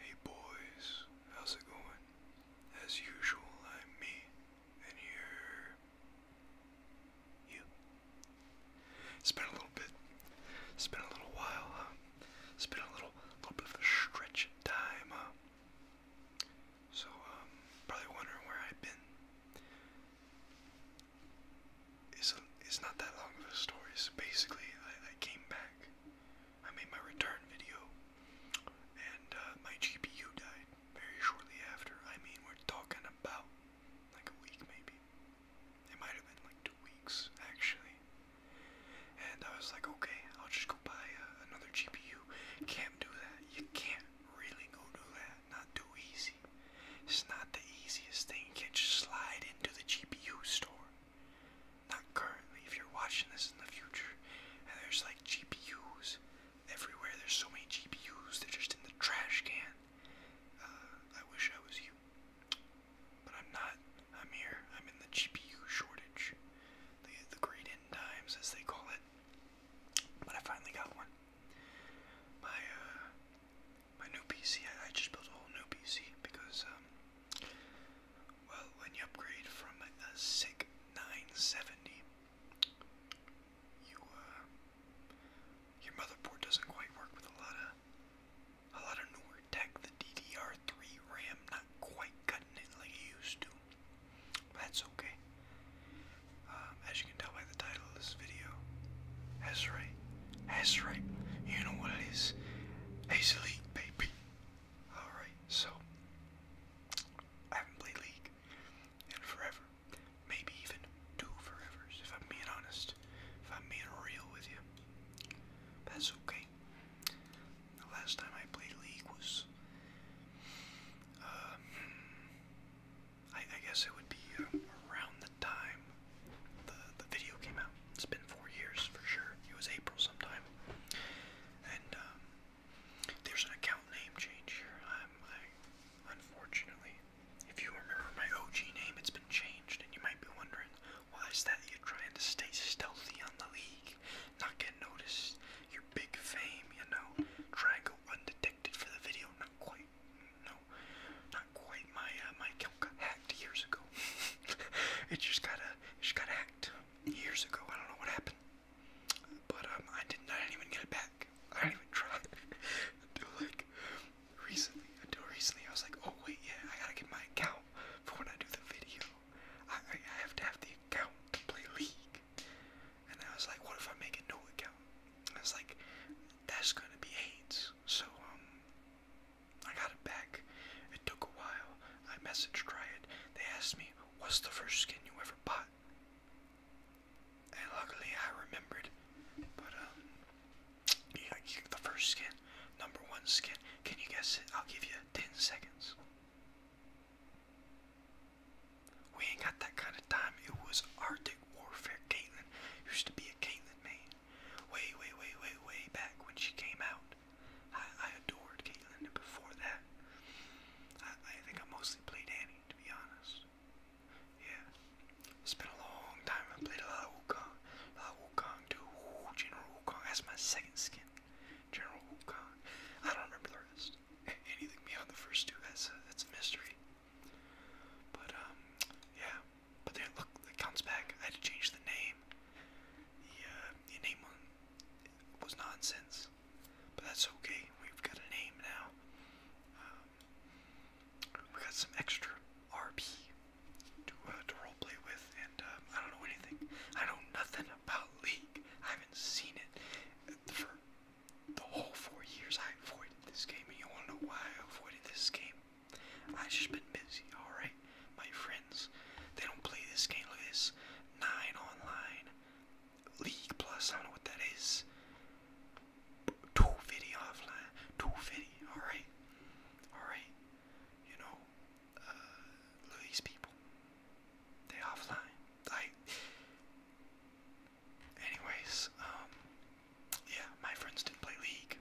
Hey boys, how's it going? As usual, I'm me, and you're. you. it has been a little bit. It's been a little while, It's been a little, little bit of a stretch of time, So, um, probably wondering where I've been. It's, not that long of a story. So basically, I came back I made my return video, and uh, my GPU died very shortly after. I mean, we're talking about like a week, maybe. It might have been like two weeks, actually. And I was like, okay, I'll just go buy uh, another GPU. Can't do that. You can't really go do that. Not too easy. It's not the easiest thing. You can't just slide into the GPU store not currently, if you're watching this in the future, and there's like GPUs everywhere, there's so many GPUs, they're just in the trash can. Uh, I wish I was you. But I'm not. I'm here. I'm in the GPU shortage. The, the great end as they call it. But I finally got one. My, uh, my new PC, I, I just built a whole new PC because, um, well, when you upgrade from a SIG 970, uh, your motherboard doesn't quite work with a lot of a lot of newer tech. The DDR3 RAM not quite cutting it like it used to. That's okay. Um, as you can tell by the title of this video, Esri that's right. You know what it is. Ace League, baby. Alright, so. I haven't played League in forever. Maybe even two forevers, if I'm being honest. If I'm being real with you. That's okay. The last time I played League was. Uh, hmm, I, guess it would be uh, around the time the, the video came out. It's been four years for sure. It was April sometime. And um, there's an account name change here. I'm, I, unfortunately, if you remember my OG name, it's been changed, and you might be wondering why is that you're trying to stay stealthy on the league, not get noticed. Your big fame, you know, try and go undetected for the video. Not quite, no, not quite my uh, my got hacked years ago. it just got a, it just got hacked years ago. I don't know what happened, but um, I didn't, I didn't even get it back. I didn't even try until like recently. Until recently, I was like, oh wait, yeah, I gotta get my account for when I do the video. I, I have to have the account to play League. And I was like, what if I make a new account? I was like, that's gonna be AIDS. So um, I got it back. It took a while. I messaged Triad. They asked me, What's the first skin you ever bought? And luckily I remembered. But, um, the first skin, number one skin. Can you guess it? I'll give you 10 seconds. We ain't got that kind of time. It was Arctic Warfare. Caitlin used to be a Caitlin main way, way, way, way, way back when she came out. I, I adored Caitlyn before that. I, I think I mostly played Annie, to be honest. Yeah. It's been a long time. I played a lot of Wukong. A lot of Wukong too. Ooh, General Wukong. That's my second skin. General Wukong. I don't remember the rest. Anything beyond the first two, that's that's a mystery. But, um, yeah. But then look, it comes back. I had to change the name. The, uh, the name one was nonsense, but that's okay. We've got a name now. Um, we got some extra RP to uh, to role play with, and um, I don't know anything. I know nothing about League. I haven't seen it for the whole four years. I avoided this game, and you want why I avoided this game? I just been busy, alright? My friends, they don't play this game. Look this. Nine online. League plus, I don't know what that is. 250 offline. 250, alright? Alright. You know, uh, these people. They offline. I. Anyways, um, yeah, my friends didn't play League.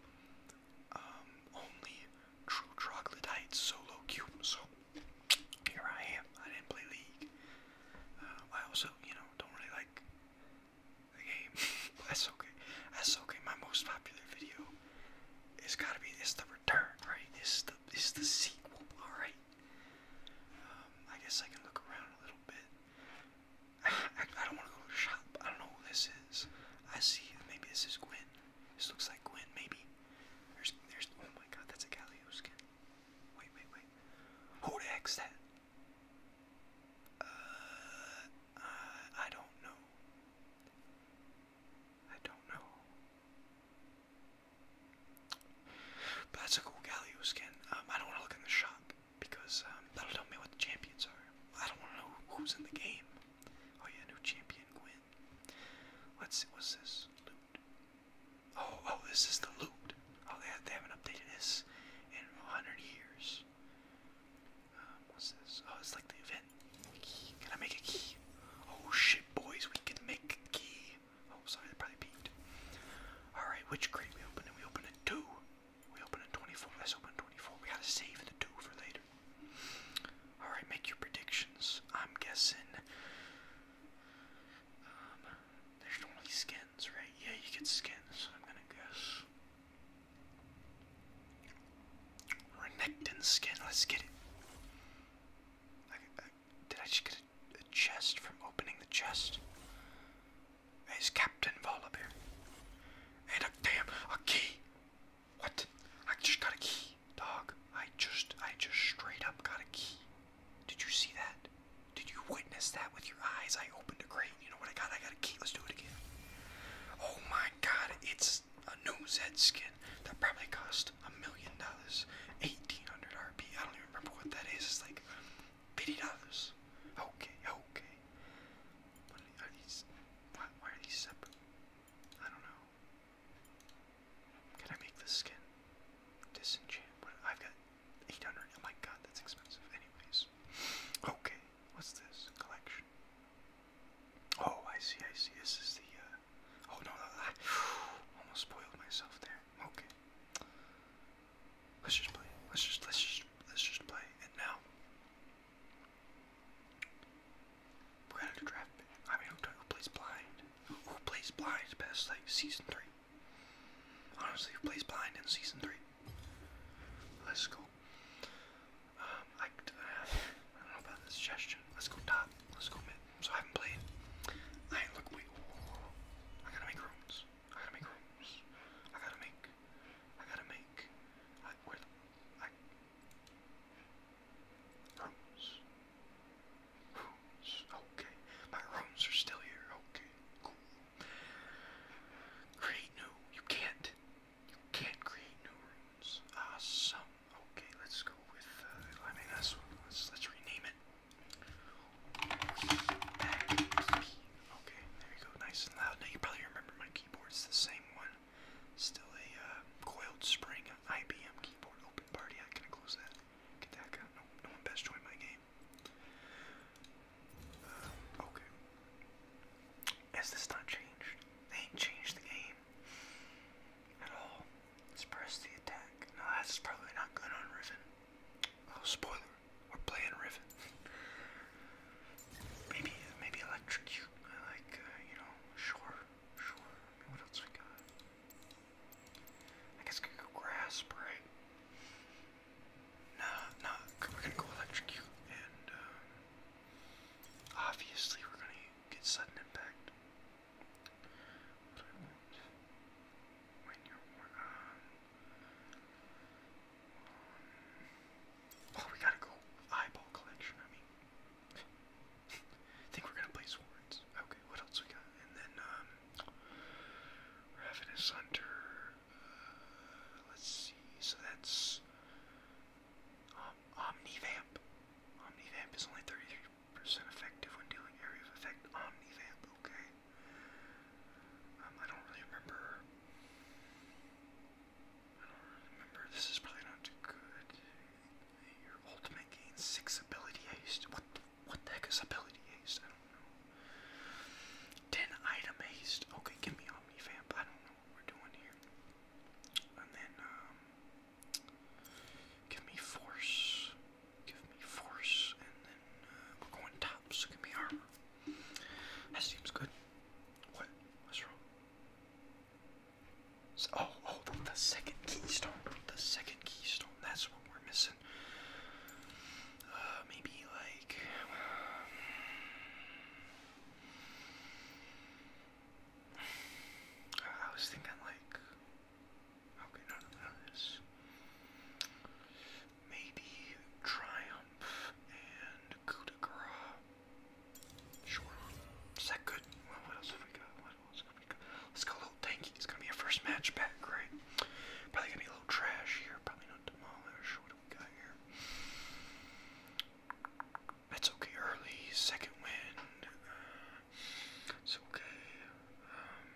Um, only True Troglodyte Solo Cube. So here I am. I didn't play League. Uh, I also, you know, don't really like the game. That's okay. That's okay. My most popular video It's gotta be it's the return, right? It's the it's the sequel. All right. Um, I guess I can look around a little bit. I, don't want to go to shop. I don't know who this is. I see. Maybe this is Gwen. This looks like Gwen, maybe. There's, there's, oh my god, that's a Galio skin. Wait, wait, wait. Who the that? Uh, I don't know. I don't know. But that's a cool Galio skin. Um, I don't want to look in the shop because um, that'll tell me what the champions are. I don't want to know who's in the game. Oh yeah, new champion Quinn. Let's see, what's this? Loot. Oh, oh, this is the loot. Oh, they, have, they haven't updated this in 100 years. Um, what's this? Oh, it's like the event. Can I make a key? Oh shit, boys, we can make a key. Oh, sorry, that probably peaked. Alright, which crate we open? And we open a 2. We open a 24. Let's open 24. We gotta save the 2 for later. Alright, make your predictions. I'm guessing. Um, there's only skins, right? Yeah, you get skins, I'm gonna guess. Renekton skin, let's get it. Uh, did I just get a chest from opening the chest? Is Captain Volibear. And a damn, a key. What? I just got a key, dog. I just, I just straight up got a key. Did you see that? Did you witness that with your eyes? I opened a crate. You know what I got? I got a key. Let's do it again. Oh my god, it's a new Zed skin that probably cost a million dollars. 1800 RP. I don't even remember what that is. It's like $50. Okay, okay. What are these? Why, are these separate? I don't know. Can I make this skin disenchant? I've got 800. Oh my god, that's expensive. Anyways. Okay, what's this? Collection. Oh, I see, I see. This is the, uh, oh no, no, I almost spoiled myself there. Okay. Let's just play. Let's just, let's just, let's just play. And now, we gotta draft I mean, who, who plays blind? Who, plays blind best, like, season 3? Honestly, who plays blind in season 3? Let's go. Um, I, don't know about the suggestion. Let's go top. Let's go mid. So I haven't played. I look, wait. I gotta make rooms. I gotta make rooms. I gotta make. I gotta make. I, where the, I, Rooms. Rooms. Okay. My rooms are still here. Okay. Cool. Create new. You can't. You can't create new rooms. Awesome. Okay, let's go with uh, let's let's rename it. Back. Okay, there you go, nice and loud. Now you probably remember my keyboard's the same one. Still a uh, coiled spring IBM keyboard open party. i can close that. Get No, one best join my game. Uh, okay. Has this not changed? They changed the game at Let's press the attack. No, that's probably not good on Riven. Oh, spoiler. We're playing Riven. Maybe, maybe electrocute. I like, uh, you know, sure, sure. what else we got? I guess we could go grasp, right? No, no, we're gonna go electrocute, and uh, obviously we're gonna get sudden impact. But When you're uh, Um, oh, we gotta go eyeball collection. I mean, I think we're gonna play swords. Okay, what else we got? And then um, Ravenous Hunter uh, let's see, so that's um, Omnivamp. Omnivamp is only 33% effective when dealing area of effect. Omnivamp, okay. Um, I don't really remember I don't remember. This is probably not too good. Your ultimate gains six ability haste. What what heck is ability haste? I don't know. Ten item haste. Okay, give me Omnivamp. I don't know what we're doing here. And then um give me force. Give me force and then uh, we're going top, so give me armor. That seems good. What? What's wrong? So, oh, oh, the second keystone. The second keystone. That's what we're missing. Uh, maybe like. I was thinking like. Okay, no, no, this. Maybe Triumph and Coup Short Is that good? Let's go a little tanky. It's gonna be our first match back, right? Probably gonna be a little trash here. Probably not demolish. What do we got here? That's okay. Early second win. it's okay. Um,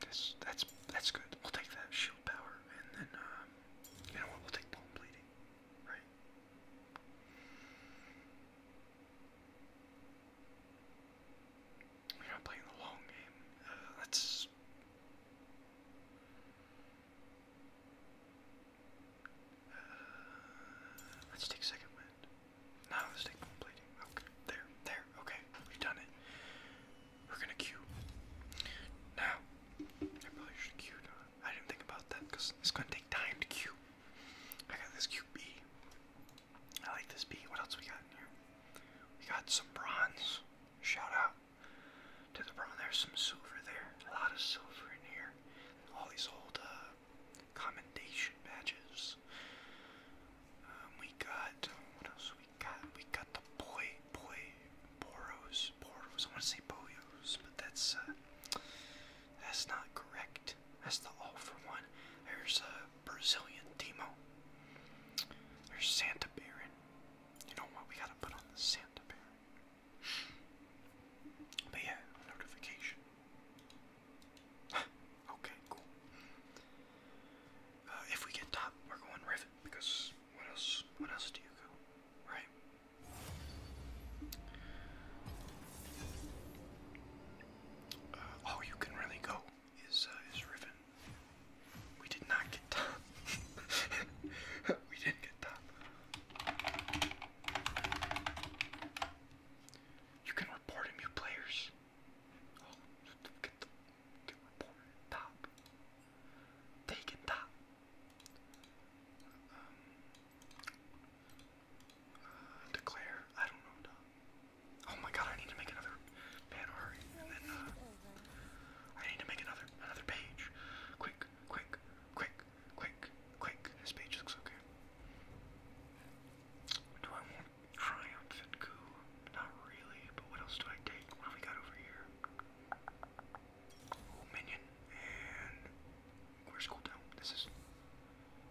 that's that's that's good. We'll take that shield power, and then uh, you know what? We'll take bone bleeding, right? We're not playing the long game. Uh, let's. Uh, let's take second wind. No, let's take bone bleeding. Okay, there, there. Okay, we've done it. We're gonna queue. Now, I probably should queue. I didn't think about that because it's gonna take time to queue. I got this cute bee. like this bee. What else we got in here? We got some bronze. Shout out to the bronze. There's some silver there. A lot of silver in here. All these old uh, commendation badges. Um, we got what else? We God, we got the boy, boy, Boros, Boros. I want to say Boyos, but that's uh, that's not correct. That's the all for one. There's a Brazilian Demo. There's Santa Baron. You know what? We gotta put on the Santa Baron. But yeah, notification. okay, cool. Uh, if we get top, we're going Rivet because what else? What else do you go? Right. Uh, all you can really go is uh, is Riven. We did not get top. we didn't get top. You can report him, players. Oh, get the Get report. Top. Taken um, top. declare. I don't know. No. Oh my god! I need to make another banner, and then uh, I need to make another another page. Quick, quick, quick, quick, quick. This page looks okay. Do I want triumph and coup? Not really. But what else do I take? What do we got over here? Minion and Quick cooldown. This is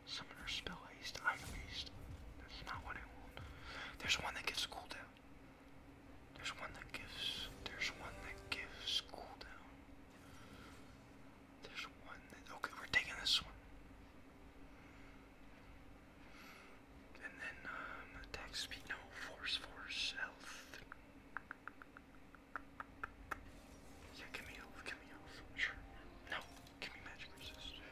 Summoner Spell Haste, Item Haste. That's not what I want. There's one that gives cooldown. There's one that gives. There's one that gives cooldown. There's one that. Okay, we're taking this one and then attack um, speed. No, force, force, health. Yeah, give me health, give me health. Sure. No, give me magic resist.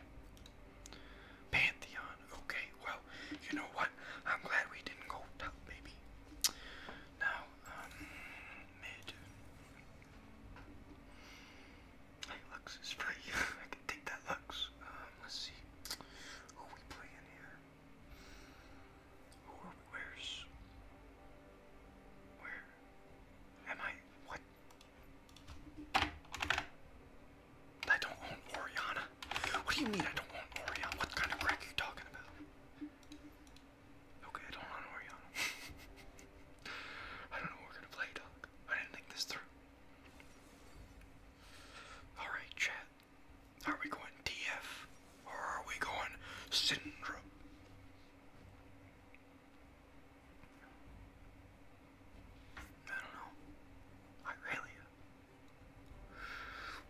Pantheon. Okay, well, you know what? I'm glad we didn't go top, baby. Now, um, mid. Hey, Lux is I can take that Lux. Um, let's see who we play here where's where am I? What? I don't own Oriana. What do you mean I don't want Oriana? What kind of crack are you talking about? Okay, I don't own Oriana. I don't know what we're gonna play, dog. I didn't think this through. Alright, chat. Are we going DF or are we going syndrome? I don't know. Irelia.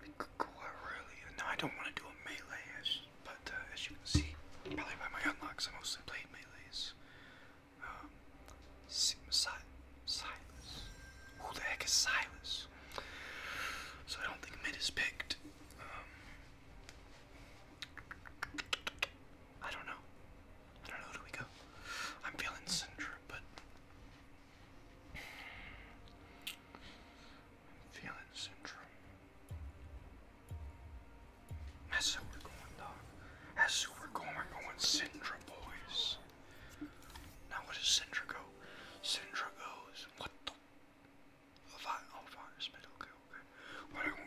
We could go Irelia. Now I don't want to do a melee, but uh, as you can see, probably by my unlocks, I mostly played melees. Um, Sigma Silas. Who the heck is Silas? So I don't think mid is picked. Um, I don't know. I don't know. do we go? I'm feeling Cinder, but I'm feeling Cinder. That's who we're going, dog. That's who we're going. We're going Syndra, boys. Now what does Syndra go? Syndra goes. What the? A vi oh, Okay, okay. What do you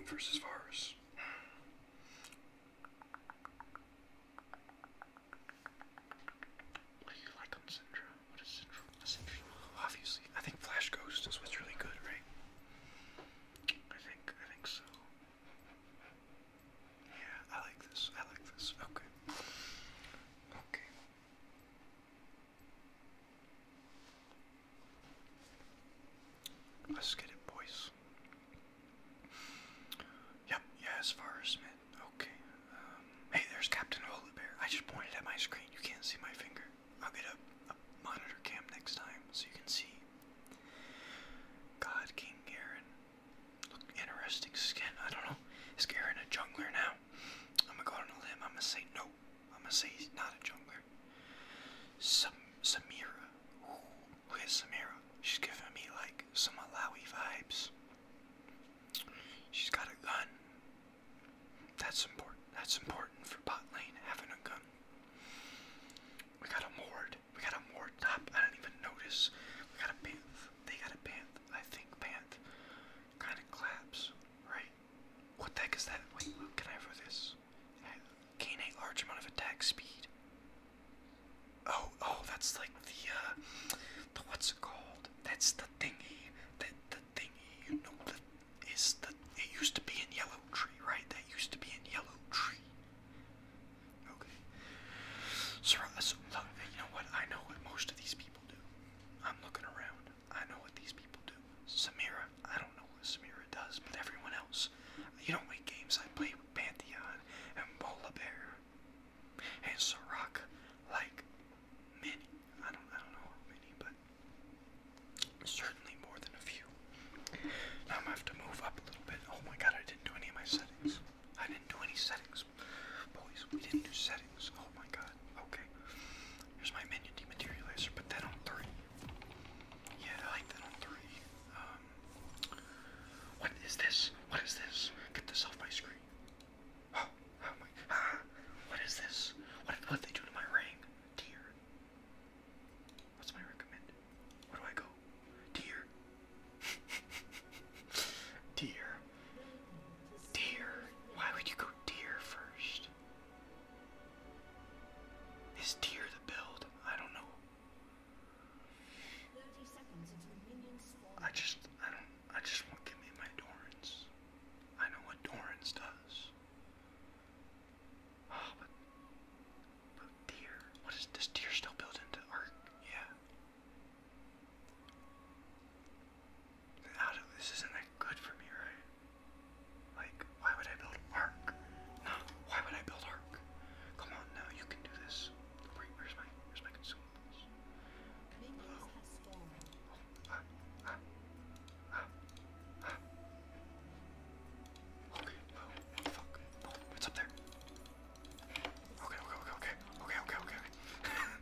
like on Syndra? What is Syndra? Syndra. Obviously, I think Flash Ghost is what's really good, right? I think. I think so. Yeah, I like this. I like this. Okay. Okay. Let's get it, boys. Yep, yeah, as Okay. Um, hey, there's Captain Holy Bear. I just pointed at my screen. You can't see my finger. I'll get a, monitor cam next time so you can see. God, King Garen. Look, interesting skin. I don't know. Is Garen a jungler now? I'm gonna go on a limb. I'm gonna say no. I'm gonna say he's not a jungler. Sam Samira. Ooh, Samira. She's giving me like some Alawi vibes. She's got a gun. That's important. That's important for bot lane having a gun. We got a Mord. We got a Mord top. I didn't even notice. We got a Banth. They got a Banth. I think Panth kind of claps, right? What the heck is that? Wait, what can I have for this? Gain a large amount of attack speed. Oh, oh, that's like the, uh, the what's it called? That's the thingy, that the thingy, you know, that is the, it used to be in Yellow Tree, right? That used to be in Yellow Tree. Okay. Uh, so, look, you know what? I know what most of these people do. I'm looking around. I know what these people do. Samira, I don't know what Samira does, but everyone else. You know what games I play with Pantheon and Bola Bear and Sirac, like many. I don't, I don't know how many, but certainly more than a few. Now I'm gonna have to move up a little bit. Oh my god, I didn't do any of my settings. I didn't do any settings. Boys, we didn't do settings. Oh my god. Okay. Here's my minion dematerializer. Put that on three. Yeah, I like that on three. Um, what is this? What is this? Get this off my screen. Oh, oh my. Ah, what is this? What what they do to my ring? Tier. What's my recommend? Where do I go? Tier. deer. Deer. Why would you go deer first? Is deer the build? I don't know. I just, I don't, I just want to give me my Dorans. I know what Dorans does. Oh, but, but deer. What is, does deer still build into art? Yeah this isn't that good for me, right? Like, why would I build arc? No, why would I build arc? Come on now, you can do this. Wait, where's my, where's my consumables? Oh, okay, oh, fuck. Oh, it's up there. Okay, okay, okay, okay, okay, okay,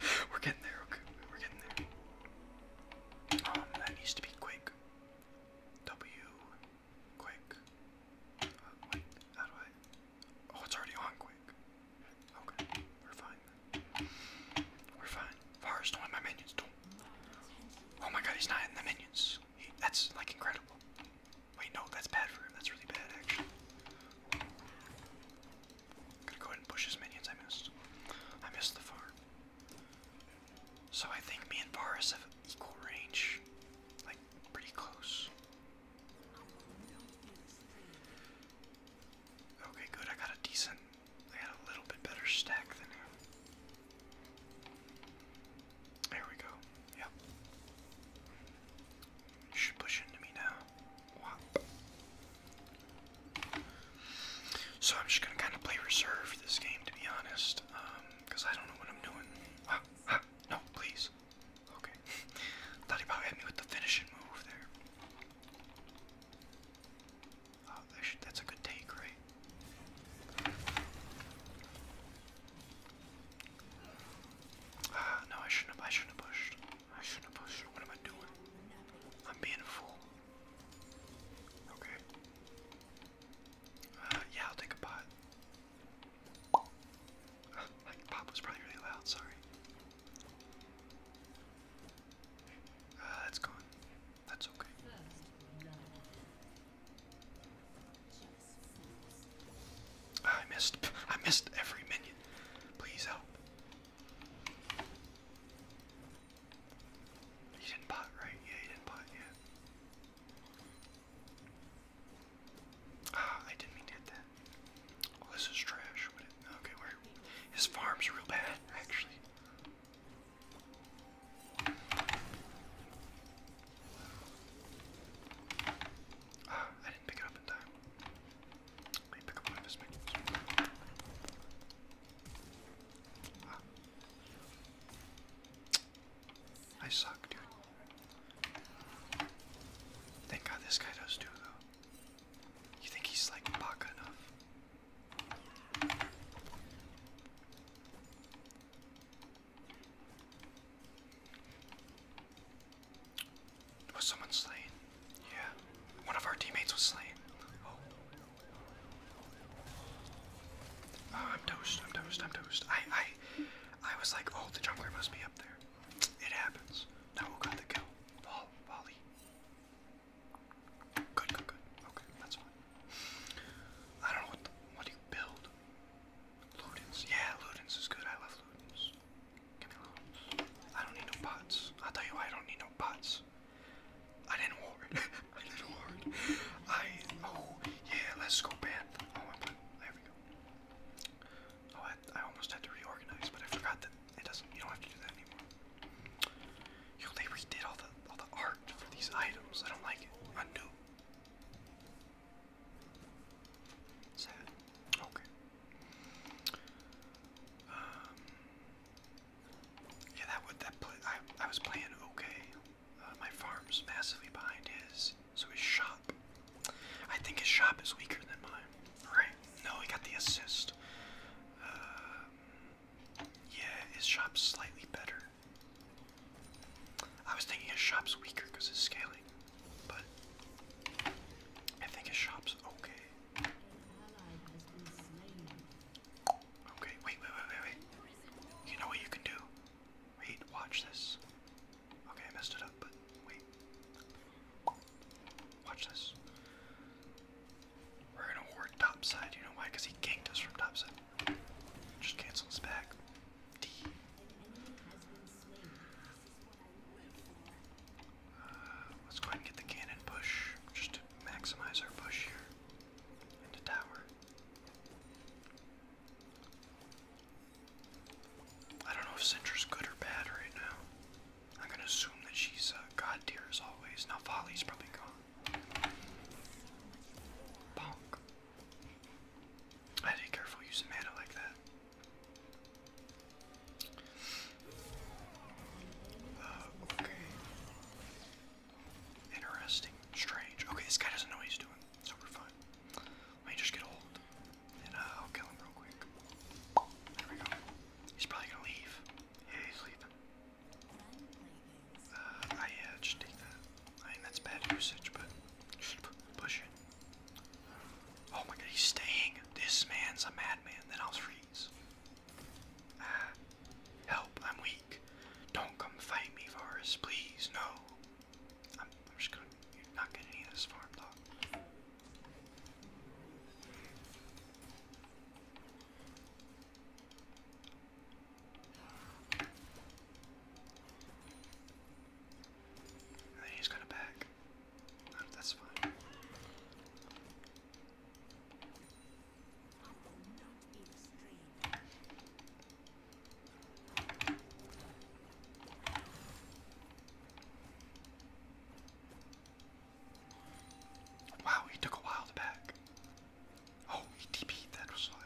we're getting there. Okay, we're getting there. Um, that needs to be quick. W, quick. Uh, how do I? Oh, it's already on quick. Okay, we're fine. We're fine. Forrest, don't my minions do. Oh my god, he's not in the minions. that's like incredible. Wait, no, that's bad for him. That's really bad, actually. Gonna go ahead and push his minions. I missed. I missed the farm. So I think me and Varus have equal range. Like, pretty close. Okay, good. I got a decent. I had a little bit better stack than him. There we go. Yep. You should push into me now. So I'm just gonna kind of play reserve this game, to be honest, um, I don't know what I'm doing. no, please. Okay. Thought he about hit me with the finishing move there. Oh, that's a good take, right? Ah, no, I shouldn't have. I shouldn't have pushed. I shouldn't have pushed. What am I doing? I'm being a fool. Okay. Uh, yeah, I'll take a pot. pop was probably really loud, sorry. Uh, that's gone. That's okay. I missed. I missed every minion. Please help. He didn't pot, right? Yeah, he didn't pot, yeah. Ah, I didn't mean to hit that. Oh, this is trash. okay, where? His farm's real bad, actually. Ah, I didn't pick it up in time. Ah. I suck, dude. Thank God this guy does too, though. You think he's like Baka enough? Was someone slain? Yeah. One of our teammates was slain. Oh. oh. I'm toast, I'm toast, I'm toast. I I I was like, oh the jungler must be up there. It happens. Now we got the kill? Vol volley. Good, good, good. Okay, that's fine. I don't know what the, what do you build? Ludens. Yeah, Ludens is good. I love Ludens. Give me a little. I don't need no pots. I'll tell you why I don't need no pots. I didn't ward. I didn't ward. I. Oh, yeah, let's go bath. Oh, I'm, there we go. Oh, I, I almost had to reorganize, but I forgot that it doesn't. You don't have to do that anymore. Yo, they redid all the all the art for these items. I don't like it. Undo. Sad. Okay. Um, yeah, that would that I I was playing okay. Uh, my farm's massively behind his, so his shop. I think his shop is weaker than mine. Right? No, he got the assist. Um, yeah, his shop's slightly better. I was thinking his shop's weaker because it's scaling. But I think his shop's okay. Okay, wait, wait, wait, wait, wait. You know what you can do? Wait, watch this. Okay, I messed it up, but wait. Watch this. We're gonna ward topside, you know why? Because he ganked us from topside. Just cancel his back let's go ahead and get the cannon push, just to maximize our push here. And tower. I don't know if Cinder's good or bad right now. I'm gonna assume that she's uh, god tier as always. Now Folly's probably gone. Bonk. I careful using mana like that. Uh, okay. Interesting. Strange. Okay, this guy doesn't know what he's doing, so we're fine. Let me just get hold, and uh, I'll kill him real quick. There we go. He's probably gonna leave. Yeah, he's leaving. Uh, I uh, just take that. I mean, that's bad usage, but push it. Oh my god, he's staying. This man's a madman. Then I'll freeze. Ah, help, I'm weak. Don't come fight me, Varus, please, no. I'm, just gonna, not getting any of this farm dog. then he's gonna back. That's fine. Wow, he took a while to back. Oh, tp that was why.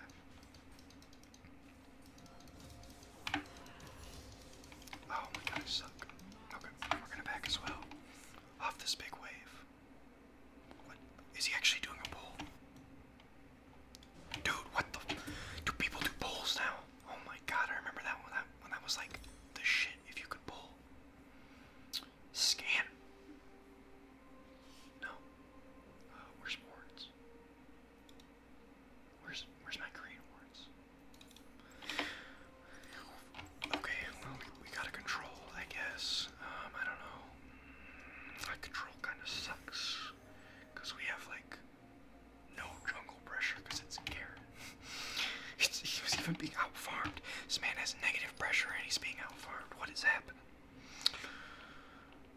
Oh my god, I suck. Okay, we're gonna back as well. Off this big wave. What? Is he actually doing a pull? Dude, what the? Do people do pulls now? Oh my god, I remember that one. That when that was like the shit. If you could pull. Scan. No. where's wards? Where's where's my green wards? Okay, well, we, got a control, I guess. Um, I don't know. Mm, control kind of sucks. Because we have, like, no jungle pressure because it's Garrett. he was even being outfarmed. This man has negative pressure and he's being outfarmed. What has happened?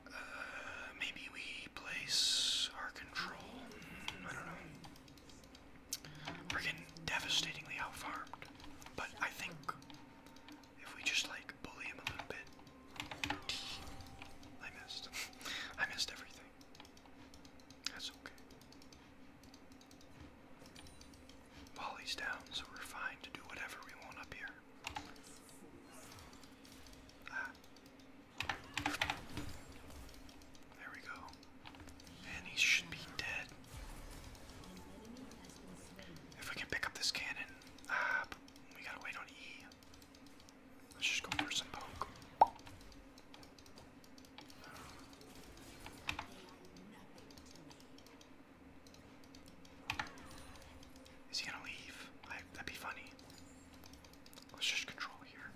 Uh, maybe we place our control. Mm, I don't know. We're getting devastatingly outfarmed, but I think if we just like bully him a little bit, I missed. I missed everything. That's okay. Molly's down, so we're fine to do whatever we want up here. Ah. There we go. And he should be dead. If we can pick up this cannon. Ah, we gotta wait on E. Let's just go for some poke. Is he gonna leave? that'd be funny. Let's just control here.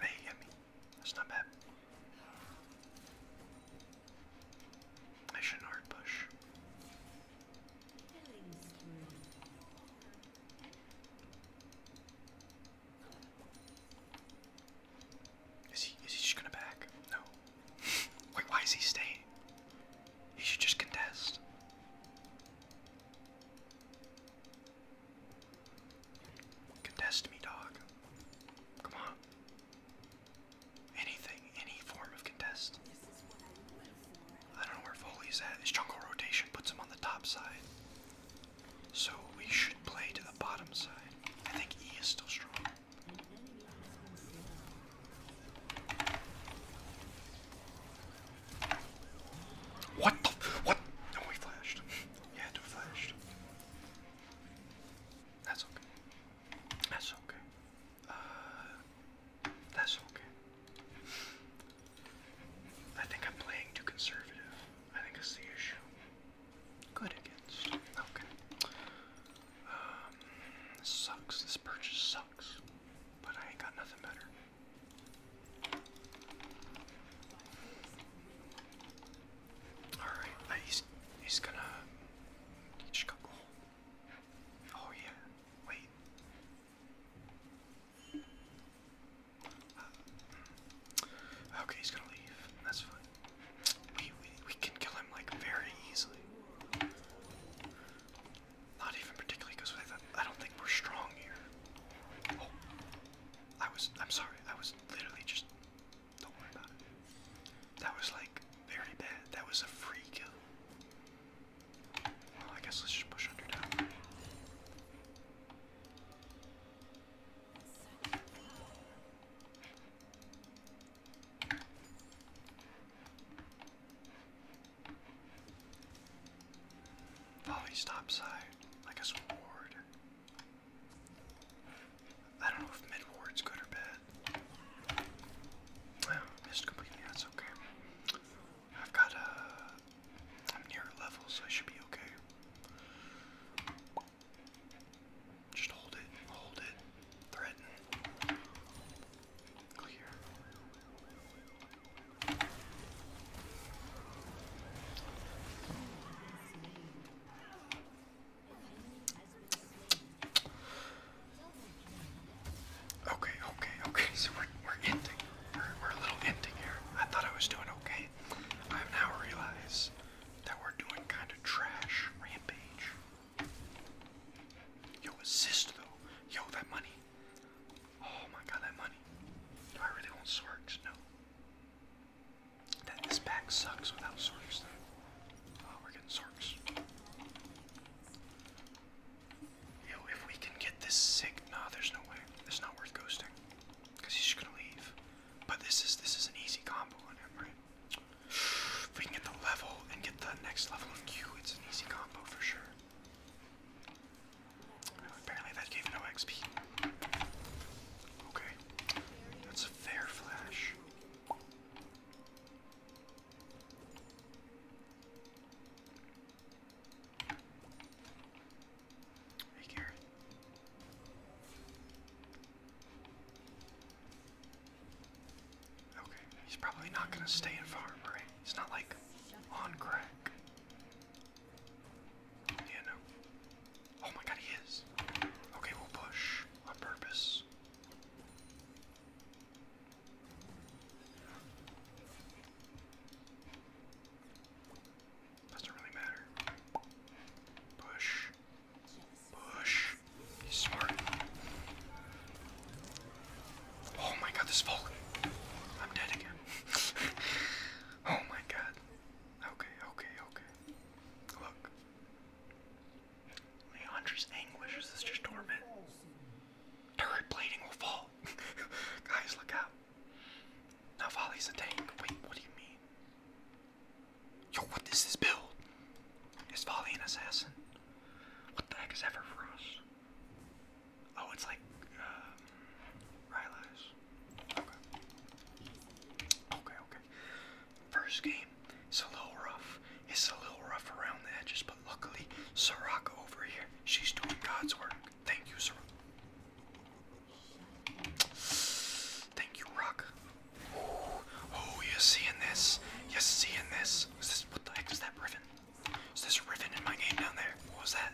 Hey, he That's not bad. I hard push. Is he is he just gonna back? No. Wait, why is he staying? He should just contest. Contest me, dog. Come on. Anything, any form of contest. I don't know where Foley's at. His jungle rotation puts him on the top side. So we should play to the bottom side. I think E is still strong. What the? What? we oh, flashed. Yeah, it flashed. That's okay. That's okay. Uh, that's okay. I think I'm playing too conservative. I think it's the issue. Good against. Okay. Um, sucks. This purchase sucks. But I ain't got nothing better. All right, uh, he's he's gonna each couple. Oh yeah, wait. Uh, okay, he's gonna leave. That's fine. We we we can kill him like very easily. Not even particularly, because I don't think we're strong here. Oh, I was, I'm sorry, I was literally just, don't worry about it. That was like very bad. That was a free kill. Well, I guess let's just push under down. Oh, he stops side like a sword. I don't know if mid good or bad. Well, missed completely, that's okay. I've got a. am near level, so I should be okay. Just hold it, hold it, threaten. Okay, okay, okay. So we're we're ending. We're, we're a little ending here. I thought I was doing okay. I now realize that we're doing kind of trash rampage. Yo, assist though. Yo, that money. Oh my god, that money. I really want Sorks? No. this pack sucks without Sorks though. Oh, we're getting Sorks. Yo, if we can get this sick, nah, there's no way. It's not worth ghosting. Cause he's just gonna leave. But this is this is an easy combo on him, right? If we can get the level and get the next level of Q, it's an easy combo for sure. Apparently that gave no XP. Okay. That's a fair flash. Hey Garrett. Okay, he's probably not gonna stay in farm, right? It's not like on crack. Yeah, no. Oh my god, he is. Okay, we'll push on purpose. Doesn't really matter. Push. Push. He's smart. Oh my god, this is falling. I'm dead again. oh my god. Okay, okay, okay. Look. Leandra's anguish is this just torment? Turret plating will fall. Guys, look out. Now Volley's a tank. Wait, what do you mean? Yo, what is this build? Is Volley an assassin? What the heck is Everfrost? Oh, it's like um, Okay. Okay, First game, it's a little rough. It's a little rough around the edges, but luckily, Soraka over here, she's doing God's work. Thank you, Soraka. Thank you, Rock. Ooh. Oh, you seeing this. you seeing this. what the heck is that ribbon? Is this a ribbon in my game down there? What was that?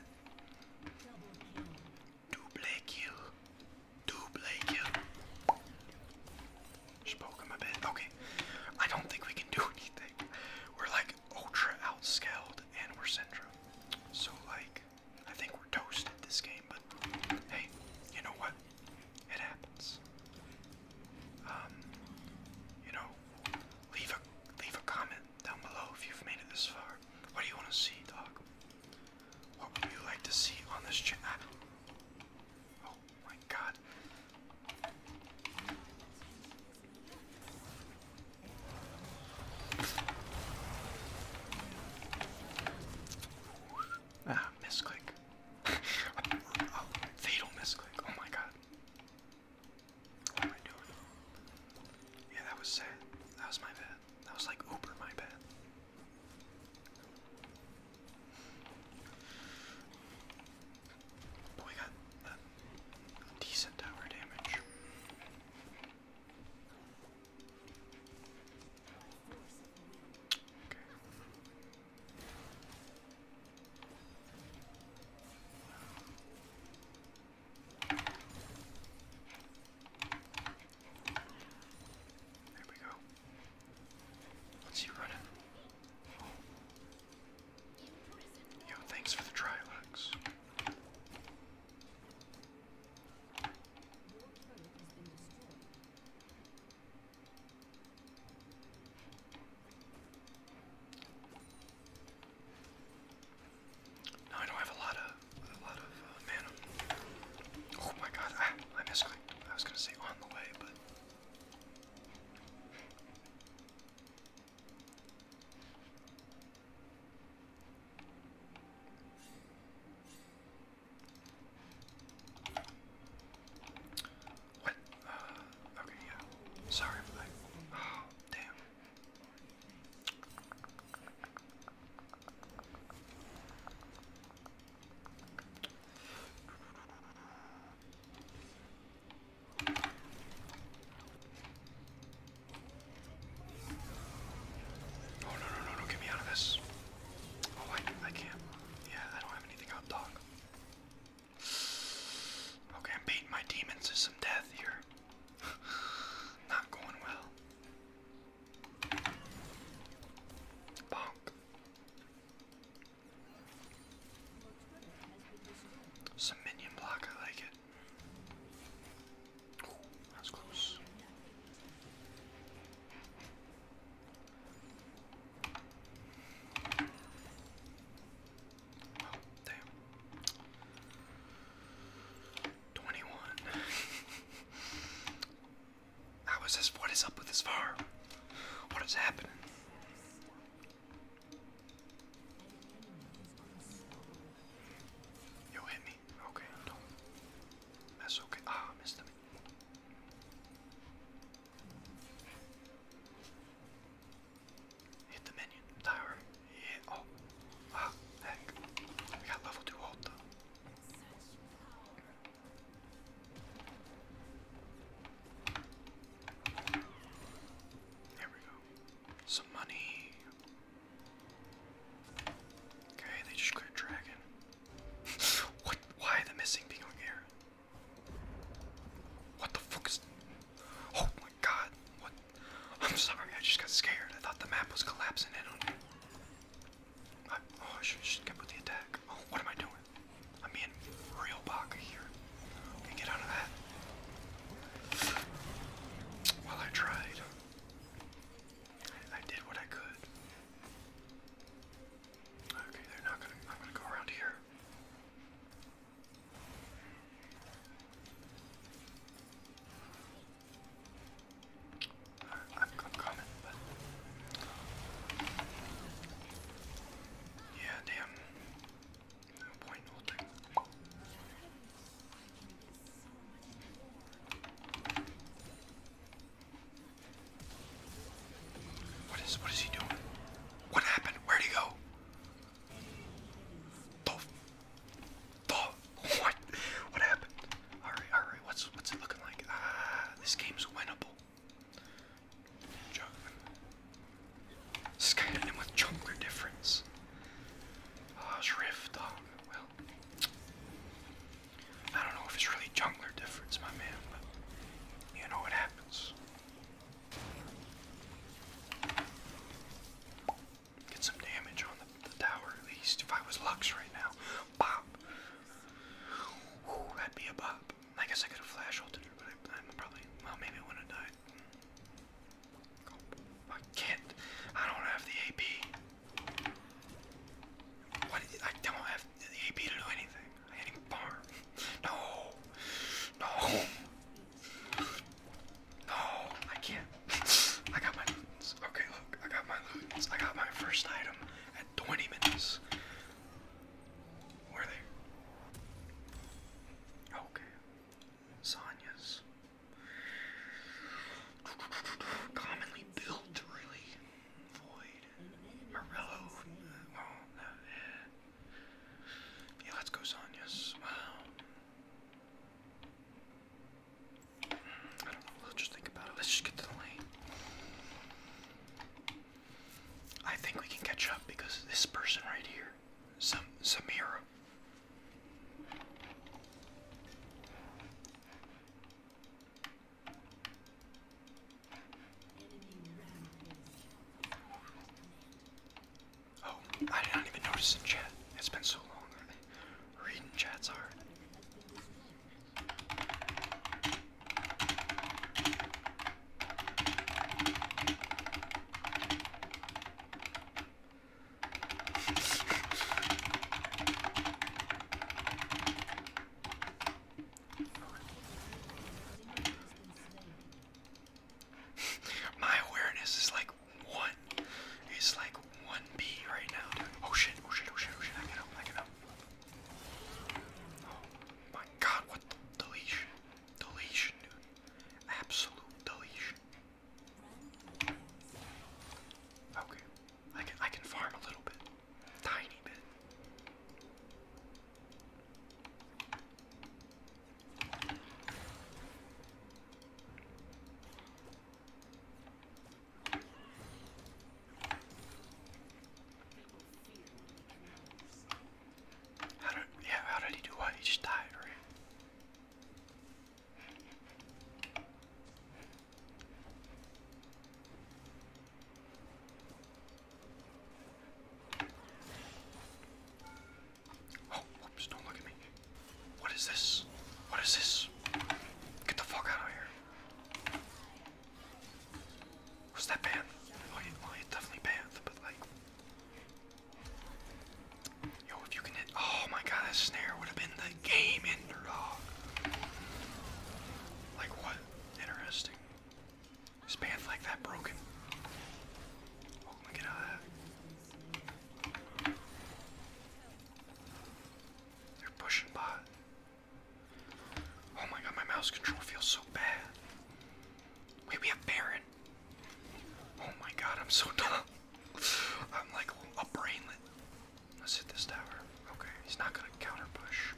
Double kill. Double kill. Just him a bit. Okay. I don't think we can do anything. We're like ultra outscaled and we're Syndra. So like I think we're toasted this game, but hey, you know what? It happens. Um, you know, leave a leave a comment down below if you've made it this far. What do you want to see, dog? What would you like to see on this chat? Ah. Oh my god. Ah, misclick. Oh, fatal misclick. Oh my god. Yeah, that was sad. That was my bad. That was like Uber, my bad. But we got decent tower damage. Okay. There we go. Let's see running. Oh. Yo, thanks for the Trilex. Now I don't have a lot of a lot of uh, Oh my god! Ah, I misclicked. I was gonna say on the way, but. What? Uh, okay, yeah. Sorry for Oh, damn. Oh no no no no! Get me out of this! Oh I I can't. Yeah, I don't have anything out dog. Okay, I'm beating my demons to some death here. Not going well. Bonk. Some minion block, I like it. that's close. 21. How is this? What is up with this fire? What is happening? Yo, hit me. Okay, don't. That's okay. Ah, missed him. Hit the minion tower. Yeah. Oh. Wow. Ah, heck. I got level two ult though. There we go. Some money. Okay, they just cleared dragon. what? Why the missing being on What the fuck is? Oh god, I'm sorry, I just got scared. I thought the map was collapsing in on me. oh, I should just with the attack. Oh, what am I doing? I'm being real baka here. Okay, get out of that. Well, I tried. I did what I could. Okay, they're not gonna. I'm gonna go around here. I'm, I'm yeah, damn, no point holding. What is what is he doing? What happened? where did he go? Oh, oh, what? What happened? All right, all right. What's what's it looking like? Ah, this game's winnable. Junk. Skyrim with chunker difference. Ah, uh, rift. Ah, well, I don't know if it's really jungler difference, my man, but you know what happens. Get some damage on the, tower at least. If I was Lux right now, pop. that'd be a pop. I guess I could have flash ulted her, but I, am probably, well, maybe I would I can't. I don't have the AP. What? I don't have the AP to do anything. I can even farm. No. No. No, I can't. I got my lootings. Okay, look, I got my lootings. I got my first item at 20 minutes. Where are they? Okay. Sonya's. Commonly built, really. Void. Morello. Oh, eh. Yeah, let's go, Sonya's. Wow. I don't know, let's just think about it. Let's just get to the lane. I think we can catch up because this person right here, some Samira. Oh, I did not even notice the chat. It's been so long. Reading chat's hard. My awareness is like one. It's like one B right now. Dude. Oh shit, oh shit, oh shit, oh shit. I can help, I can help. Oh my god, what the deletion. Deletion, dude. Absolute deletion. Okay. I can I can farm a little bit. Tiny bit. How did yeah, how did he do what? He just died, right? Oh, whoops, don't look at me. What is this? What is this? Get the fuck out of here. Was that banned? Oh, yeah, well, it's definitely banned, but like. Yo, if you can hit. Oh my god, that snare would have been the game ender, Like, what? Interesting. Is banned like that broken? look at that. They're pushing bot. Oh my god, my mouse control feels so bad. Wait, we have Baron. Oh my god, I'm so dumb. I'm like a brainlet. Let's hit this tower. Okay, he's not gonna counter push.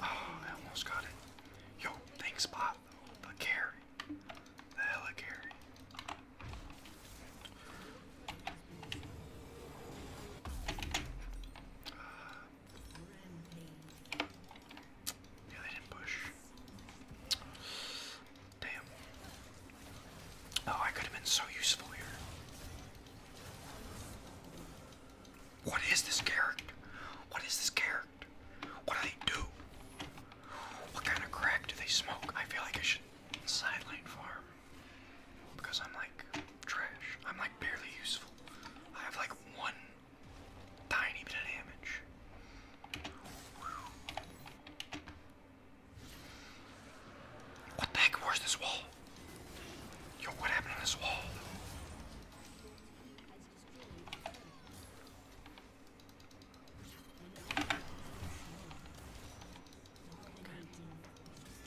Oh, I almost got it. Yo, thanks, Bob. The carry. The hella carry. Yeah, they didn't push. Damn. Oh, I could have been so useful here. What is this character? What is this character? What do they do? What kind of crack do they smoke? I feel like I should sideline farm. Because I'm like trash. I'm like barely useful. I have like one tiny bit of damage. What the heck? Where's this wall? Yo, what happened on this wall?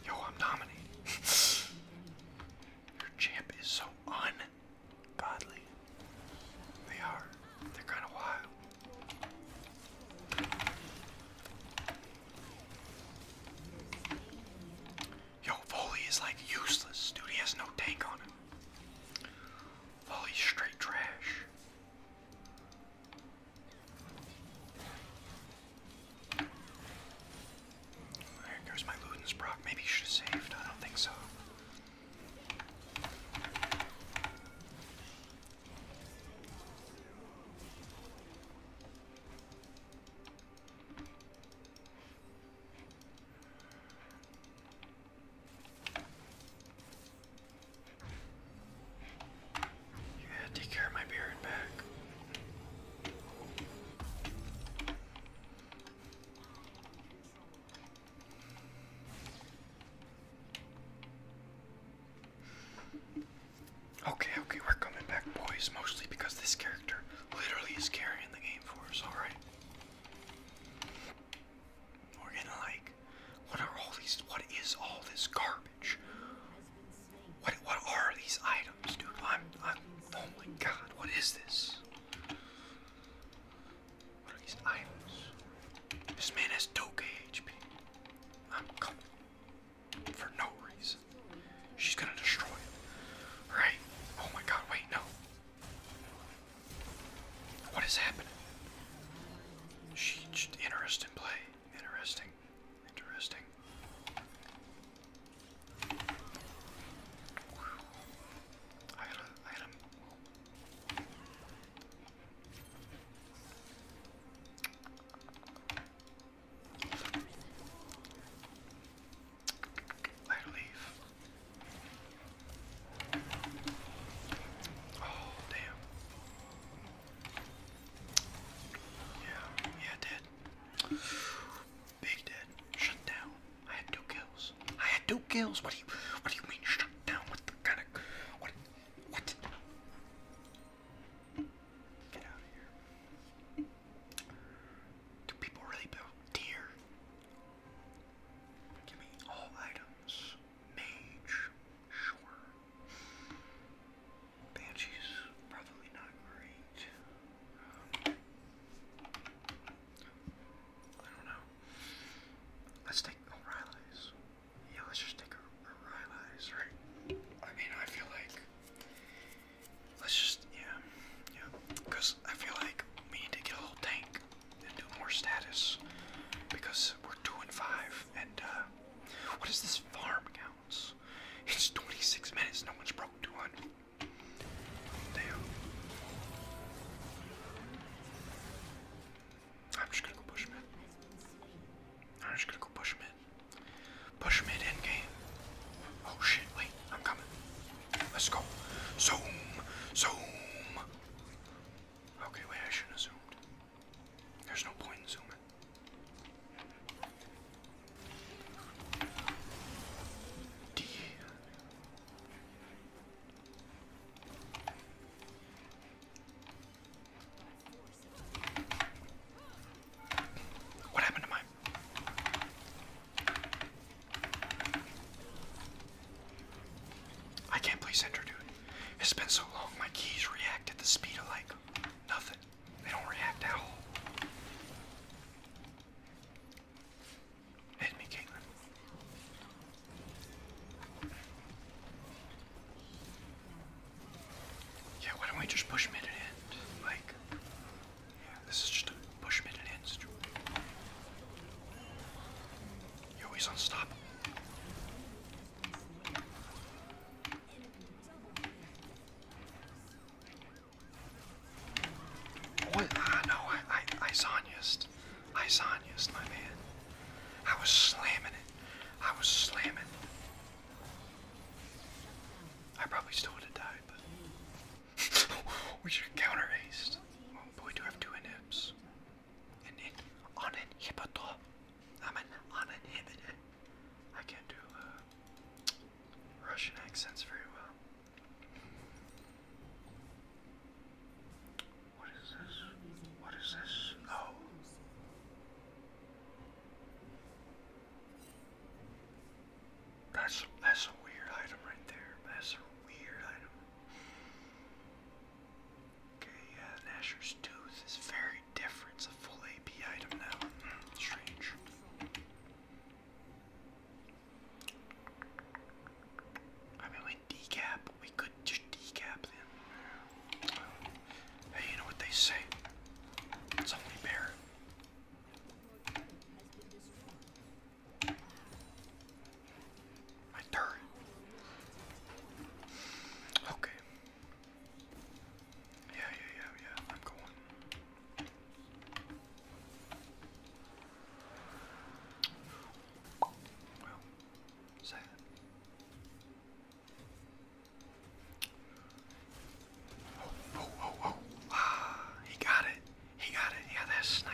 Yo, I'm dominating. Your champ is so ungodly. They are. They're kind of wild. Yo, Foley is like useless, dude. He has no tank on him. Foley's straight trash. There goes my Ludensbrock. Maybe he should have saved. I don't think so. Yeah, take care of my beard back. Okay, okay, we're coming back, boys, mostly because this character literally is carrying the game for us, alright? We're gonna like what are all these what is all this garbage? What what are these items, dude? I'm I'm oh my god, what is this? What are these items? This man has 2 HP. I'm coming for no reason. She's gonna destroy it. Right? Oh my god, wait, no. What is happening? She, interesting play. Interesting. Interesting. I had Later leave. Oh, damn. Yeah, yeah, dead. Big dead. Shut down. I had two kills. I had two kills. What do you what do you mean shut down? What the kind of what what do people really build deer? Give me all items. Mage, sure. Banshee's probably not great. I don't know. Let's take O'Reilly's. Yeah, let's just take O'Reilly's, right? I mean, I feel like Let's just, yeah, yeah. Because I feel like we need to get a little tank and do more status. Because we're 2 and 5, and, uh, what is this farm counts? It's 26 minutes, no one's broke 200. Damn. I'm just gonna go push mid. I'm just gonna go push mid. Push mid end game. Oh shit, wait, I'm coming. Let's go. Zoom! Zoom! Okay, wait, I shouldn't have There's no point in zooming. D. What happened to mine? I can't place enter, dude. It's been so long, my keys react at the speed of light. nothing. They don't react at all. Hit me, Caitlin. Yeah, why don't we just push mid and end? Like, yeah, this is just a push mid and end situation. Yo, he's unstoppable. What? Ah, no, I, I, I Zanyast. I Zanyast, my man. I was slamming it. I was slamming I probably still would have died, but we should counter haste. Oh but we do have two inhibs. I'm an uninhibited. I can't do uh, Russian accents very well. What is this? What is this? Oh. That's that's a weird item right there. That's a weird item. Okay, yeah, Nasher's tooth is very different. It's a full AP item now. strange. I mean, we decap. We could just decap them. Hey, you know what they say? It's only bear. My turn. Okay. Yeah, yeah, yeah, yeah. I'm going. Well, sad. Oh, oh, oh, oh. Ah, he got it. He got it. Yeah, that snipe.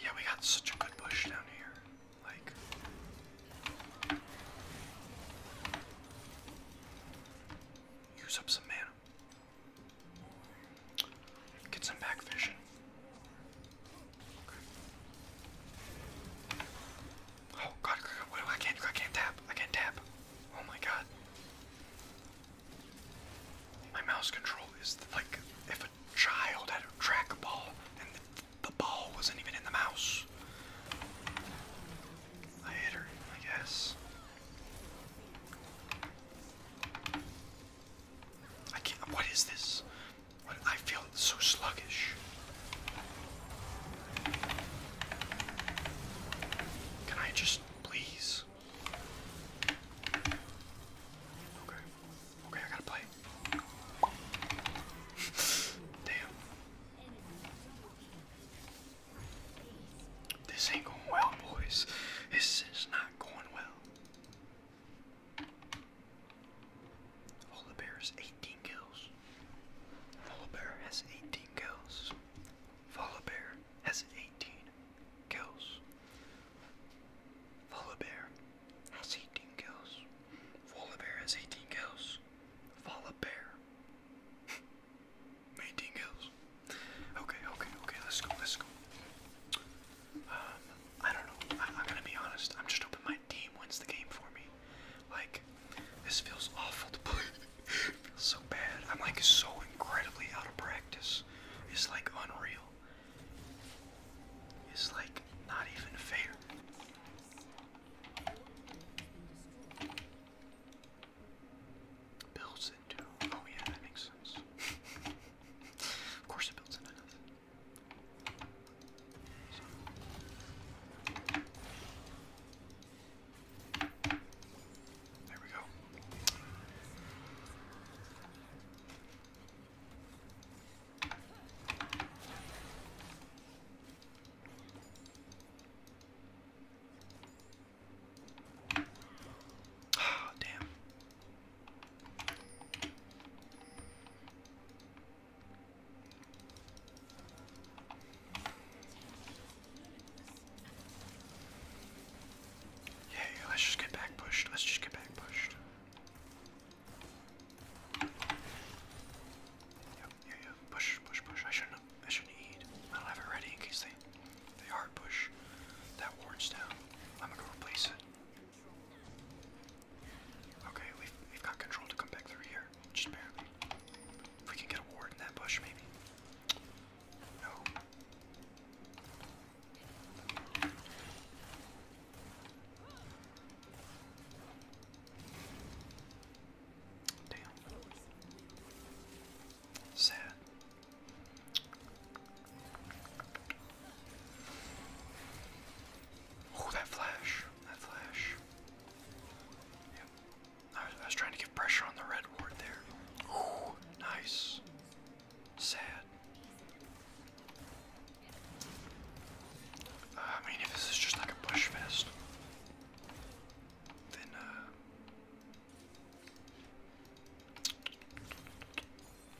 Yeah, we got such a good push down here. Like. Use up some mana. Get some back vision. Oh god, I can't I can't tap. I can't tap. Oh my god. My mouse control is like if a child had a trackball and the, ball wasn't even in the mouse. I hit her, I guess. I can't. What is this? I feel so sluggish. Can I just please? Okay. Okay, I gotta play. Damn. This ain't going well, boys. This is not going well. All the bears 18 kills. Volibear has 18 kills. Volibear has 18 kills. Volibear has 18 kills. Volibear has 18 kills. Volibear. 18 kills. Okay, okay, okay, let's go, let's go. Um, I don't know. I, am gonna be honest. I'm just hoping my team wins the game for me. Like, this feels awful to play. feels so bad. I'm like so incredibly out of practice. It's like unreal. It's like not even fair. Builds into. Oh, yeah, that makes sense. of course, it builds into there we go. oh, damn. Yeah, let's just get back pushed. Let's just get back pushed. yeah, yeah. Push, push, push. I shouldn't I shouldn't eat. I don't have it ready in case they they hard push. That ward's down. I'm gonna go replace it. Okay, we've we've got control to come back through here. Just barely. we can get a ward in that bush, maybe. No. Damn. Sad. Oh, that flash. That flash. Yep. I was, trying to give pressure on the red ward there. Ooh, nice. Sad. Uh, I mean, if this is just like a push fest, then, uh.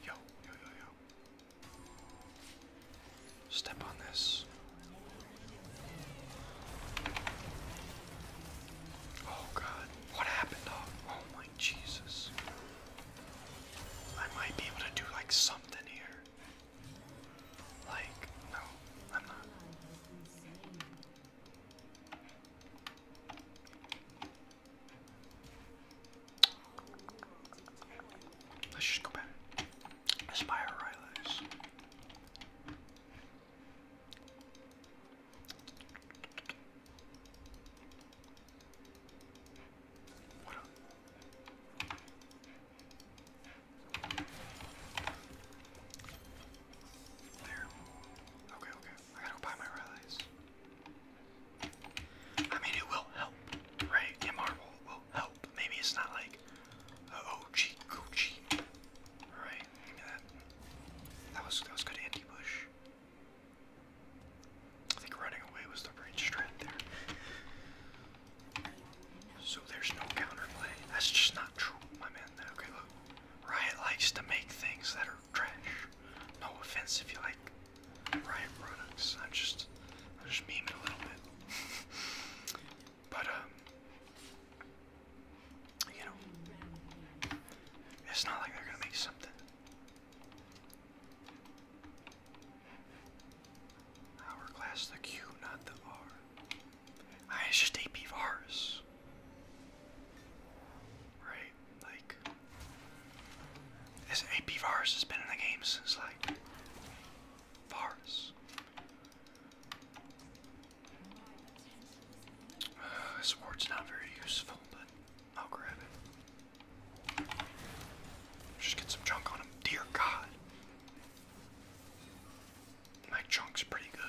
Yo, yo, yo, yo. Step on this. Oh God, what happened? Oh, oh my Jesus. I might be able to do like something here. Like, no, I'm not. Let's just go back. Aspire Rylax. Okay, okay. I gotta buy my relays. I mean, it will help, right? Yeah, marble will help. Maybe it's not like OG Gucci. Oh, Alright, that. was that was good anti Bush. I think running away was the range strat there. So there's no counterplay. That's just not true, my man. Okay, look. Riot likes to make things that are trash. No offense if you like Riot products. I'm just I'm just memeing a little bit. But, um, you know, it's not like they're gonna make something. Hourglass, the Q, not the R. I just AP bars. Right? Like, this AP Varus has been in the game since, like, Varus. this sword's not very useful, but I'll grab it. Just get some junk on him. Dear God. My chunk's pretty good.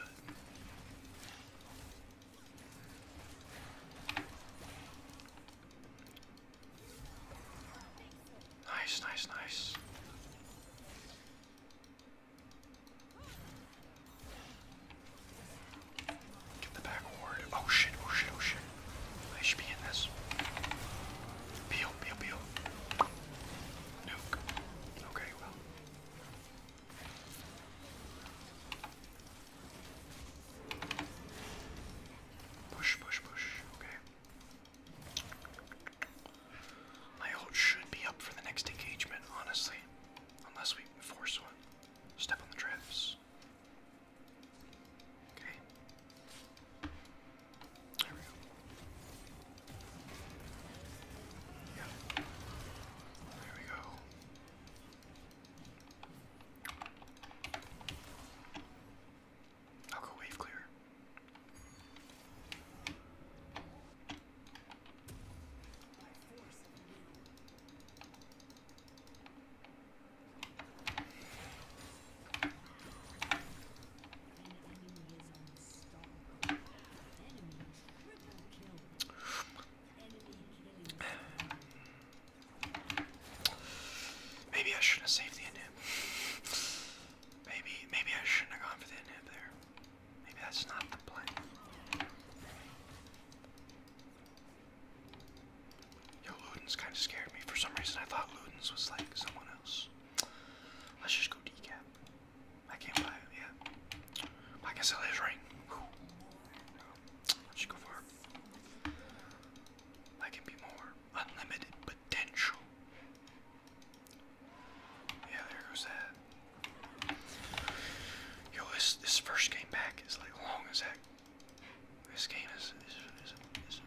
Nice, nice, nice. Get the back ward. Oh shit, oh shit, oh shit. I should be in this. Peel, peel, peel. Nuke. Okay, well. Push, push, push. Okay. My ult should be up for the next engagement, honestly. Unless we force one. Step on the drifts. Okay. There we go. Yeah. There we go. I'll go wave clear. Maybe I shouldn't have saved the inhib. Maybe maybe I shouldn't have gone for the inhib there. Maybe that's not the plan. Yo, Ludens kind of scared me. For some reason, I thought Ludens was like someone else. Let's just go decap. I can't buy it yet. But I guess it is right. Let's go for it. I can be more unlimited potential. Yeah, there goes that. Yo, this this first game back is like long as heck. This game is is is, is,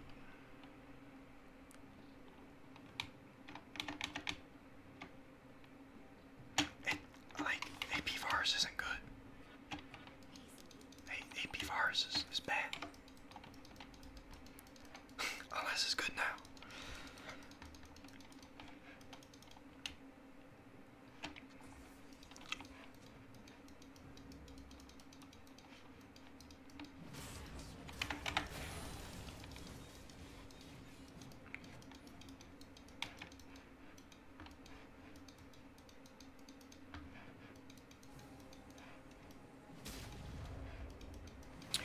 is it, like AP virus isn't good. A AP virus is, is bad. All this is good now.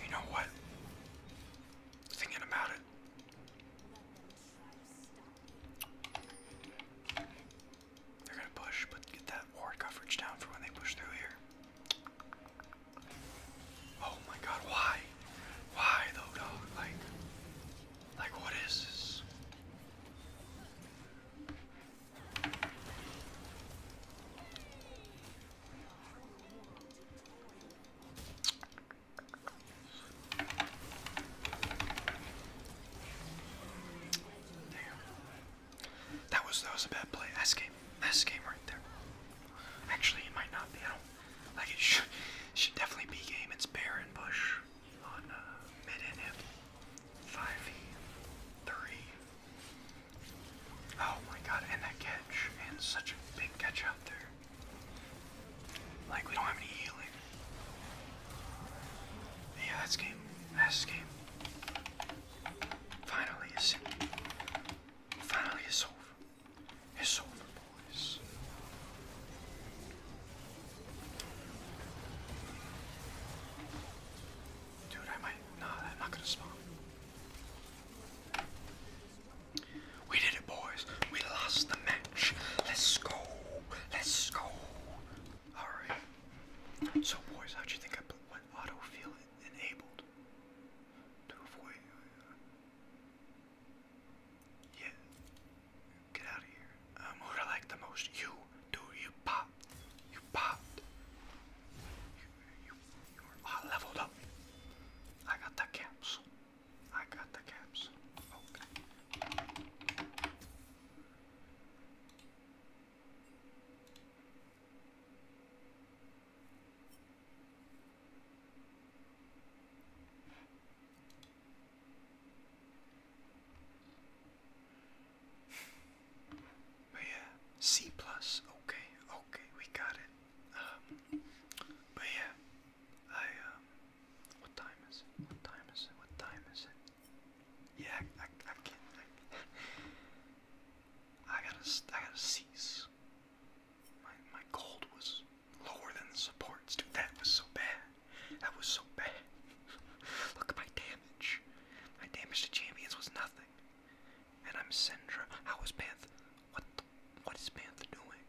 You know what? Thinking about it. They're gonna push, but get that ward coverage down for when they push through here. Oh my god, why? Why though, dog? Like, like what is this? That was that was a bad play. That's game. That's game right there. Actually, it might not be. I don't like it. Should definitely be game. It's Baron Bush on mid and hip. Five three. Oh my god, and that catch. And such a big catch out there. Like, we don't have any healing. Yeah, that's game. That's game. Finally, it's Finally, it's over. It's over, boys. Dude, I might. Nah, I'm not gonna spawn. We did it, boys. We lost the match. Let's go. Let's go. Alright. So, boys, how do you think I went auto-feel enabled? To avoid. Uh, yeah. Get out of here. Um, who do I like the most? You. Dude, you popped. You popped. I ah, leveled up. I got the caps. I got the caps. But yeah, C plus. Okay, okay, we got it. Um, but yeah, I um, what time is it? What time is it? What time is it? Yeah, I, I, can't. I, gotta, I gotta cease. My my gold was lower than the supports, dude. That was so bad. That was so bad. Look at my damage. My damage to champions was nothing. And I'm Syndra. How was Panth? What what is Panther doing?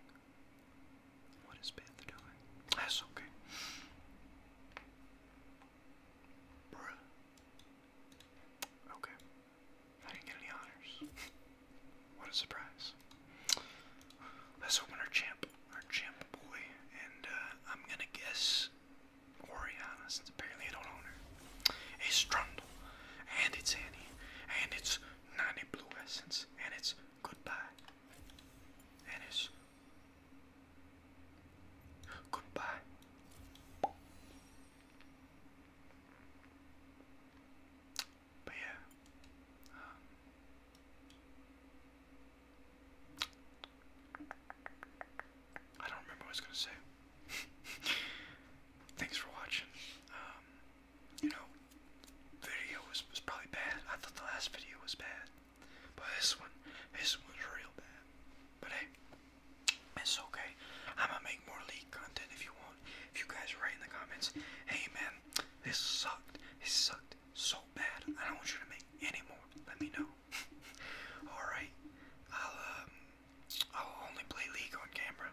What is Panther doing? That's okay. Okay. I didn't get any honors. what a surprise. Let's open our champ, our champ boy, and uh, I'm gonna guess Oriana's apparently I don't own her. A Strundle, and it's Annie, and it's 90 Blue Essence, and it's Goodbye, and it's Goodbye. But yeah. Um, I don't remember what I was gonna say. Thanks for watching. Um, you know, video was, was probably bad. I thought the last video was bad, but this one, this one's real bad. But hey, it's okay. I'm gonna make more league content if you want. If you guys write in the comments, hey man, this sucked. It sucked so bad. I don't want you to make any more. Let me know. All right, I'll um, I will only play League on camera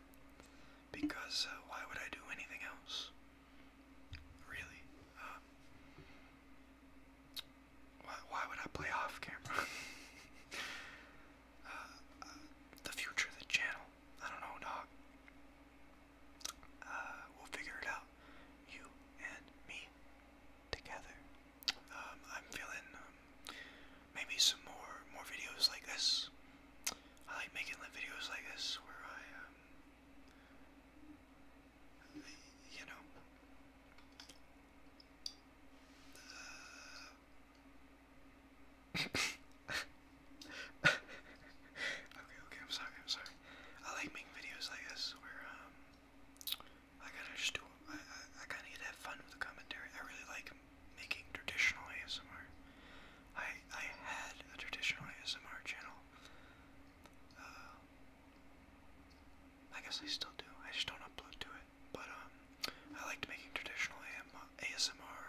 because uh, why would I do anything else? Really? Uh, why, why would I play off camera? Uh, the future of the channel. I don't know, dog. we'll figure it out. You and me together. Um, I'm feeling um, maybe some more more videos like this. I like making videos like this where I, um, you know, uh, okay, okay, I'm sorry, I'm sorry. I like making videos like this where, um, I kind of just do, I, I kind of get to have fun with the commentary. I really like making traditional ASMR. I I had a traditional ASMR channel. Uh, I guess I still do. I just don't upload to it. But um, I liked making traditional ASMR,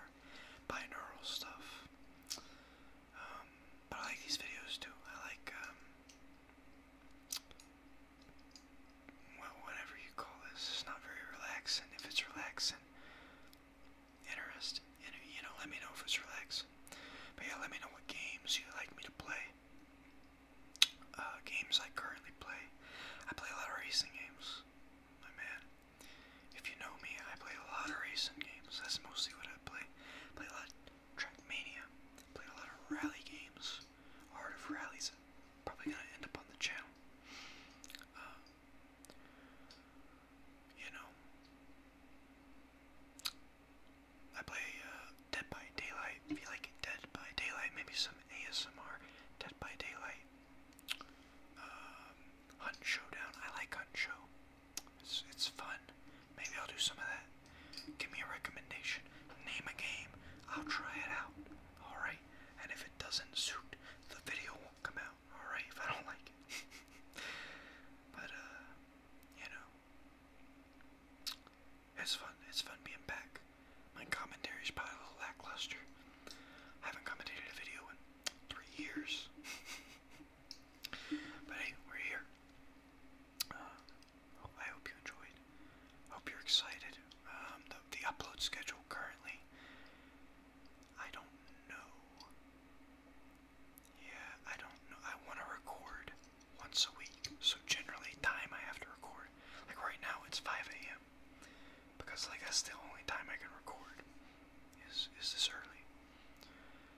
binaural stuff. Um, but I like these videos too. I like um, well, whatever you call this. It's not very relaxing. If it's relaxing, interesting, and you know, let me know if it's relaxing. But yeah, let me know what games you like me to play. Uh, games I currently play. I play a lot of racing games, my man. If you know me, I play a lot of racing games. That's mostly what I play. play a lot Trackmania. Play a lot of rally games. Art of Rallies. Probably gonna end up on the channel. Uh, you know, I play uh, Dead by Daylight. If like Dead by Daylight, maybe some ASMR. Dead by Daylight. Um, Hunt Showdown. I like Hunt Show. it's fun. Maybe I'll do some of that. Give me a recommendation. Name a game. I'll try it out. Alright and if it doesn't suit, the video won't come out, alright, if I don't like it. but, uh, you know, it's fun. It's fun being back. My commentary probably a little lackluster. I haven't commentated a video in three years. but hey, we're here. Uh, I hope you enjoyed. hope you're excited. Um, the, the upload schedule currently I don't know. Yeah, I don't know. I want to record once a week, so generally, time I have to record. Like right now, it's 5 a.m. Because like that's the only time I can record is is this early.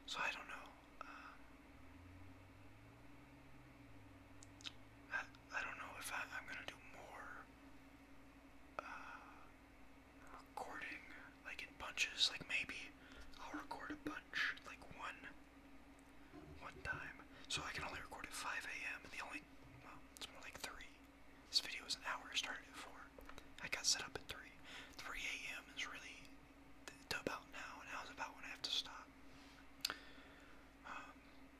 So I don't know. Um, I don't know if I, am gonna do more uh, recording, like in bunches. Like maybe I'll record a bunch, like one, one time. So I can only record at 5 a.m. and the only, well, it's more like three. This video is an hour. Started at four. I got set up at three. 3 a.m. is really to about now, and now's about when I have to stop. Um,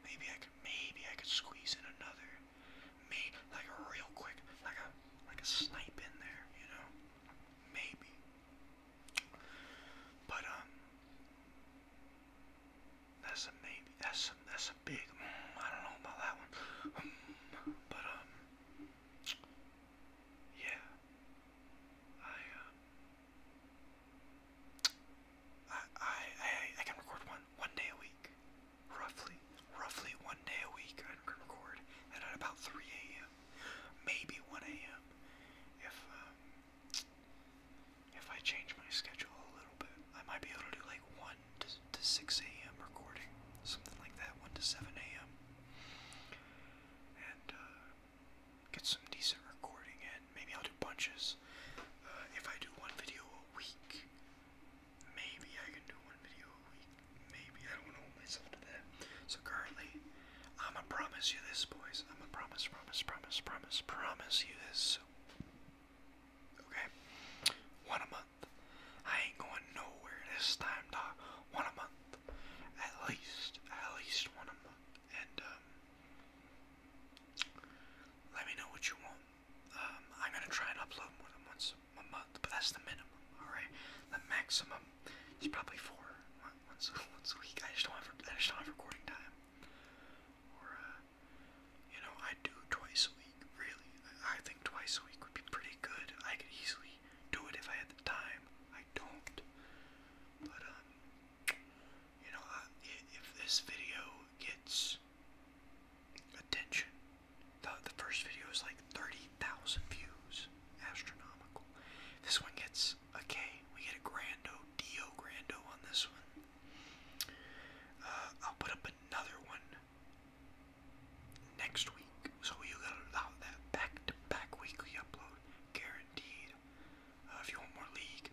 Maybe I could maybe I could squeeze in another. Maybe like real quick like a like a snipe in there, you know? Maybe. But um that's a maybe. That's a that's a big mm, I don't know about that one. Mm, but um yeah. I um I I I I can record one one day a week roughly, roughly one day a week I can record at about 3 a.m., maybe 1 a.m. if um, if I change my schedule a little bit. I might be able to do like 1 to, to 6 a.m. recording, something like that, 1 to 7 a.m. and uh, get some decent recording in. Maybe I'll do bunches. Uh, if I do one video a week, Maybe I can do one video a week. Maybe I don't want to hold myself to that. So currently, I'm gonna promise you this, boys. I'm gonna promise, promise, promise, promise, promise you this. Okay, one a month. I ain't going nowhere this time, dog. One a month, at least, at least one a month. And um, let me know what you want. Um, I'm gonna try and upload more than once a month, but that's the minimum. All right, the maximum is probably four once once a week. I just don't have I just don't have recording time. Or uh, you know, I do twice a week. Really, I think twice a week would be pretty good. I could easily do it if I had the time. I don't. But um, you know, if this video gets attention. The, the first video is like 30,000 views. Astronomical. This one gets a K. We get a Grando, Dio on this one. Uh, I'll put up another one next week. So you gotta allow that back to back weekly upload. Guaranteed. Uh, if you want more League,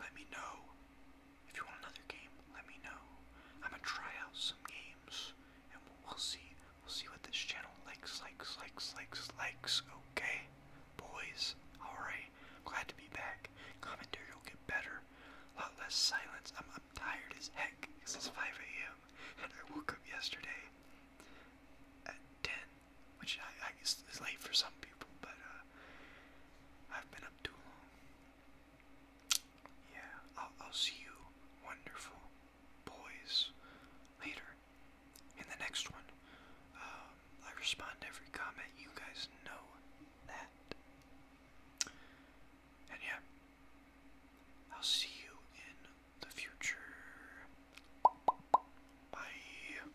let me know. If you want another game, let me know. I'm gonna try out some games, and we'll, see. We'll see what this channel likes, likes, likes, likes, likes. Okay, boys. All right. Glad to be back. Commentary will get better. A lot less silence. I'm, tired as heck. it's 5 a.m. and I woke up yesterday at 10, which I guess is late for some people, but uh, I've been up too long. Yeah, I'll, see you, wonderful boys, later. In the next one, um, I respond to every comment. You guys know that. And yeah, I'll see you in the future. Bye.